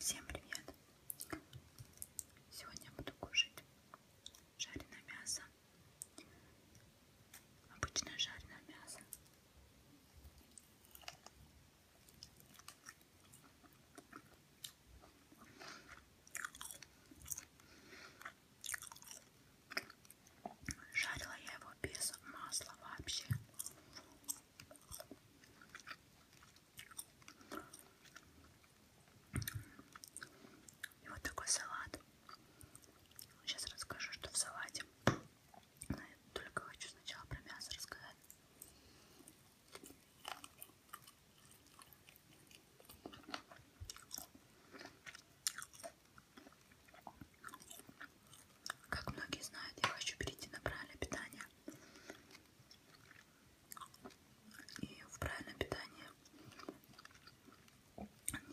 Всем привет! Сегодня я буду кушать жареное мясо. Обычное жареное мясо. Жарила я его без масла вообще. И вот такой салат. Сейчас расскажу, что в салате. Но я только хочу сначала про мясо рассказать. Как многие знают, я хочу перейти на правильное питание и в правильном питании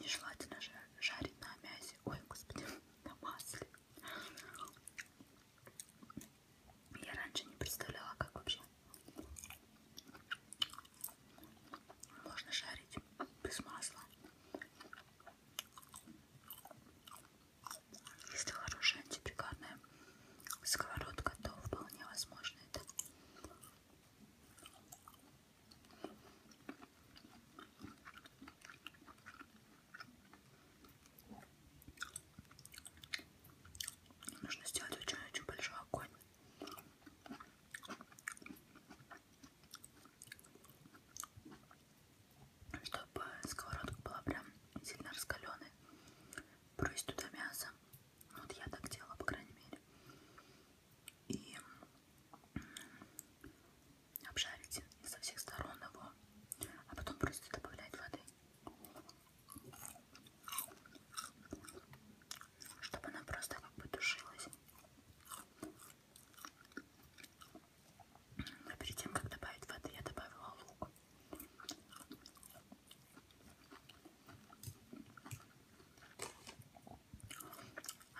нежелательно жарить на мясе, ой, господи, на масле. Я раньше не представляла, как вообще можно жарить без масла. Если хорошая антипекарная сковородка, то вполне возможно это. Нужно сделать очень-очень большой огонь чтобы сковородка была прям сильно раскаленной. Брось туда мясо. Ну, вот я так делала, по крайней мере. И обжарить со всех сторон его, а потом просто добавлять воды. Чтобы она просто как бы тушилась. Но а перед тем, как добавить воды, я добавила лук.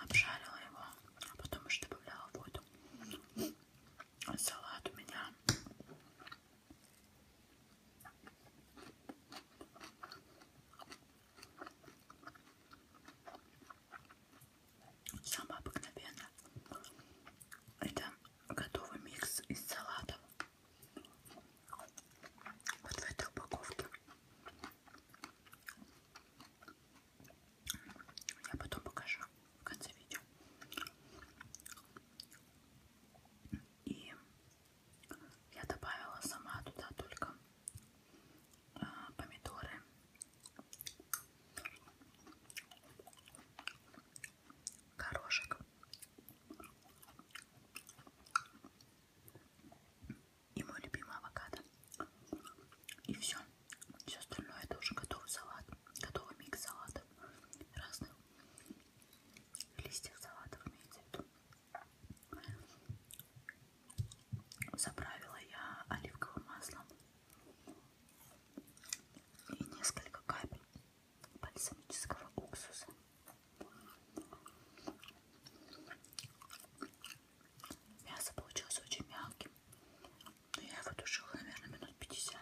Обжарила его, а потом уже добавляла воду. Салат у меня самая обыкновенная. Это готовый микс из салатов. Вот в этой упаковке. Я потом покажу в конце видео. И я добавила сама туда только а, помидоры горошек и мой любимый авокадо. И все. Все остальное это уже готовый салат, готовый микс салатов разных листьев салатов имеется в виду. Заправила я оливковым маслом и несколько капель бальсамического уксуса. Мясо получилось очень мягким, но я его тушила, наверное, минут 50.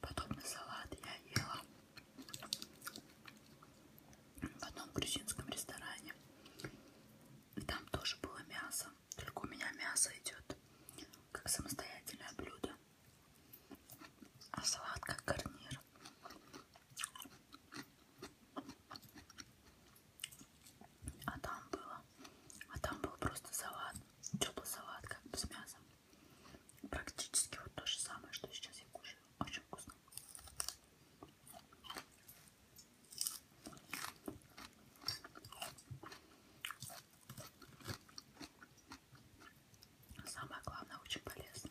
Подобный салат я ела в одном грузинском ресторане. И там тоже было мясо. Только у меня мясо идет как самостоятельное блюдо. А салат как гарнир. А там было. А там был просто салат. Теплый салат, как бы с мясом. Практически вот то же самое, что сейчас я кушаю. Очень вкусно. А самое главное, очень полезно.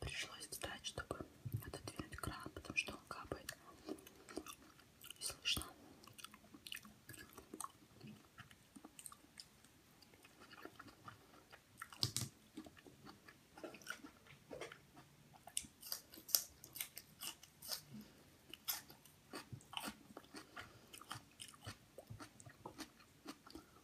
Пришлось встать, чтобы отодвинуть кран, потому что он капает. И слышно.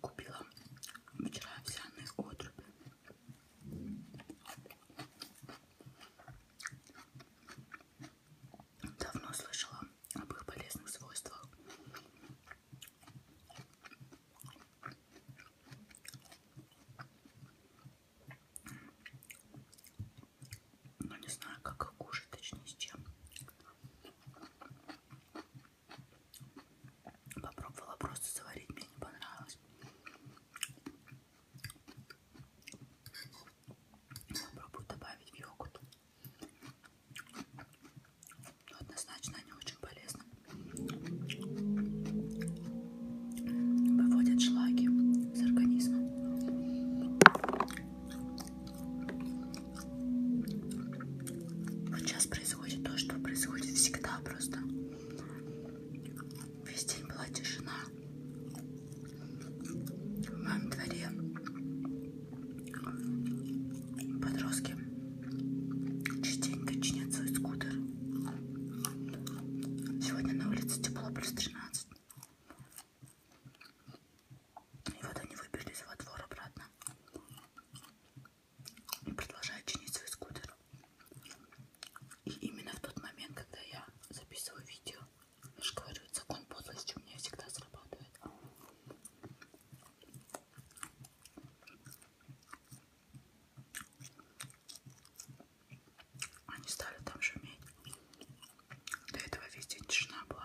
Купила вчера овсяные отруби. Давно слышала об их полезных свойствах но ну, не знаю, как их кушать, точнее, с чем. Попробовала просто заварить, мне не понравилось. Попробую добавить в йогурт. Но ну, однозначно они очень полезны. Выводят шлаки с организма. Вот сейчас происходит то, что происходит всегда просто. Весь день была тишина. В моем дворе подростки частенько чинят свой скутер. Сегодня на улице тепло плюс 13. И вот они выбежались во двор обратно и продолжают чинить свой скутер. И именно в тот момент, когда я записываю видео, я же говорю, закон подлости у меня всегда срабатывает. Они стали там шуметь. До этого везде тишина была.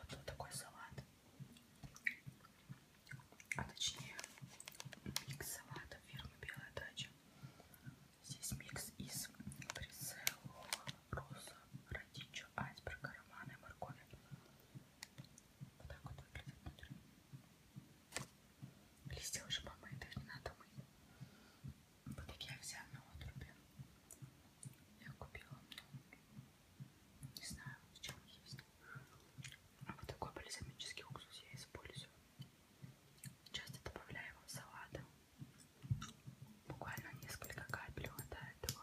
Потом такой салат, а точнее микс салата фирмы Белая Дача. Здесь микс из прицела, роза, родичо, айсберга, романа и моркови. Вот так вот выглядит внутри. Листья уже помыты, их не надо мыть. Вот такие я взяла на отрубе. Я купила не знаю, в чем есть. А вот такой бальзамический уксус я использую. Часто добавляю его в салаты. Буквально несколько капель до этого.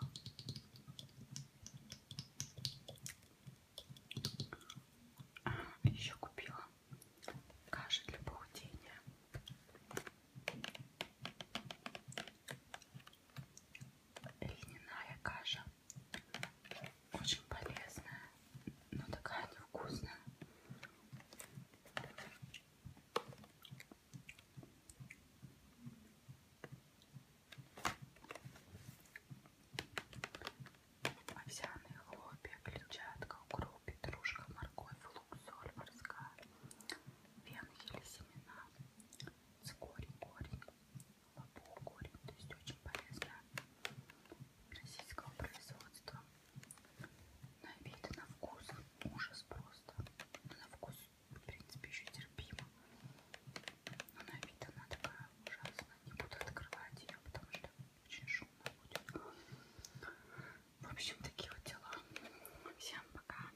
А, еще купила каши для похудения льняная каша. Очень полезная, но такая невкусная. Овсяные хлопья, клетчатка, укроп, петрушка, морковь, лук, соль морская, венки или семена, цикорий, корень, по курю, то есть очень полезно российского производства. На вид и на вкус ужас просто. На вкус, в принципе, еще терпимо. Но на вид она такая ужасная. Не буду открывать ее, потому что очень шумно будет. В общем, такие вот дела. Всем пока.